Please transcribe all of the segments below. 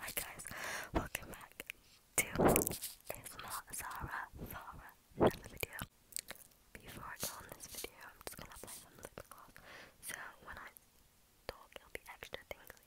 Hi guys, welcome back to ASMR Zara Zara another video. Before I go on this video, I'm just gonna play some lip gloss. So when I talk, it'll be extra tingly.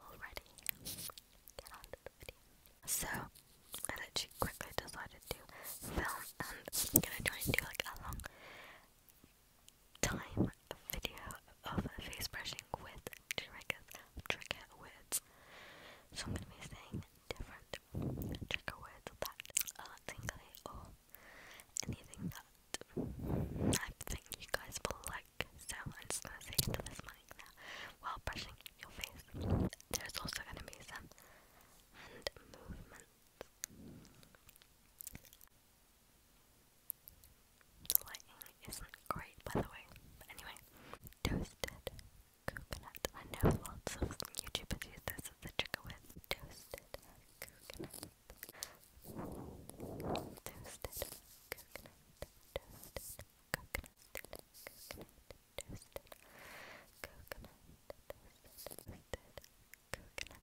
Already, get So, I literally quickly decided to film, and I'm gonna try and do like a long time video of face brushing with triggers, trigger words. So I'm going to be saying different trigger words that are uh, tingly or anything that I think you guys will like. So I'm just going to say into this mic now while brushing your face. There's also going to be some hand movements. The lighting isn't great, by the way. anyway, toasted coconut. I know lots of YouTubers use this as a toasted coconut. Toasted coconut. Toasted Coconut. Toasted coconut. Toasted coconut. Toasted coconut.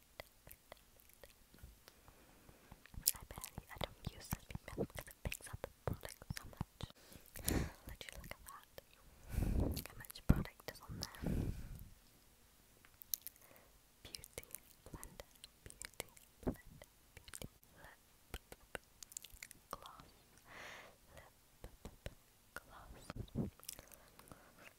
I barely, I don't use sleeping mist because it picks up the product so much. look at that. how much product is on there. Beauty blend, beauty blend, beauty lip gloss, gloss,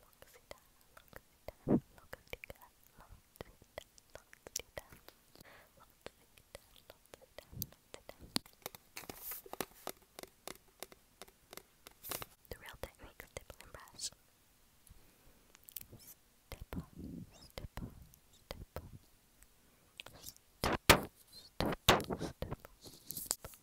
Loxita, Loxita, The real technique stipple and brush. stipple, stipple. Stipple, stipple, stipple, stipple.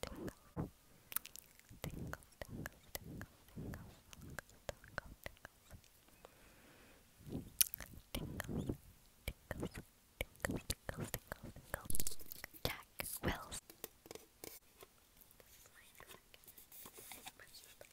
tingle, tingle, tingle, tingle, tingle, tingle, tingle, tingle, tingle, tingle, tingle, Jack Wells. Soft, soft, soft,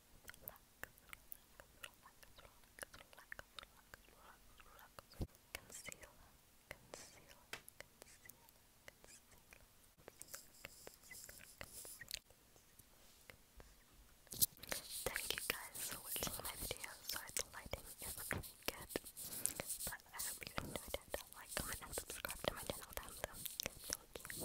Thank you guys for watching my video. Sorry the lighting isn't really good, but I hope you enjoyed it. Like, and subscribe to my channel down Thank you.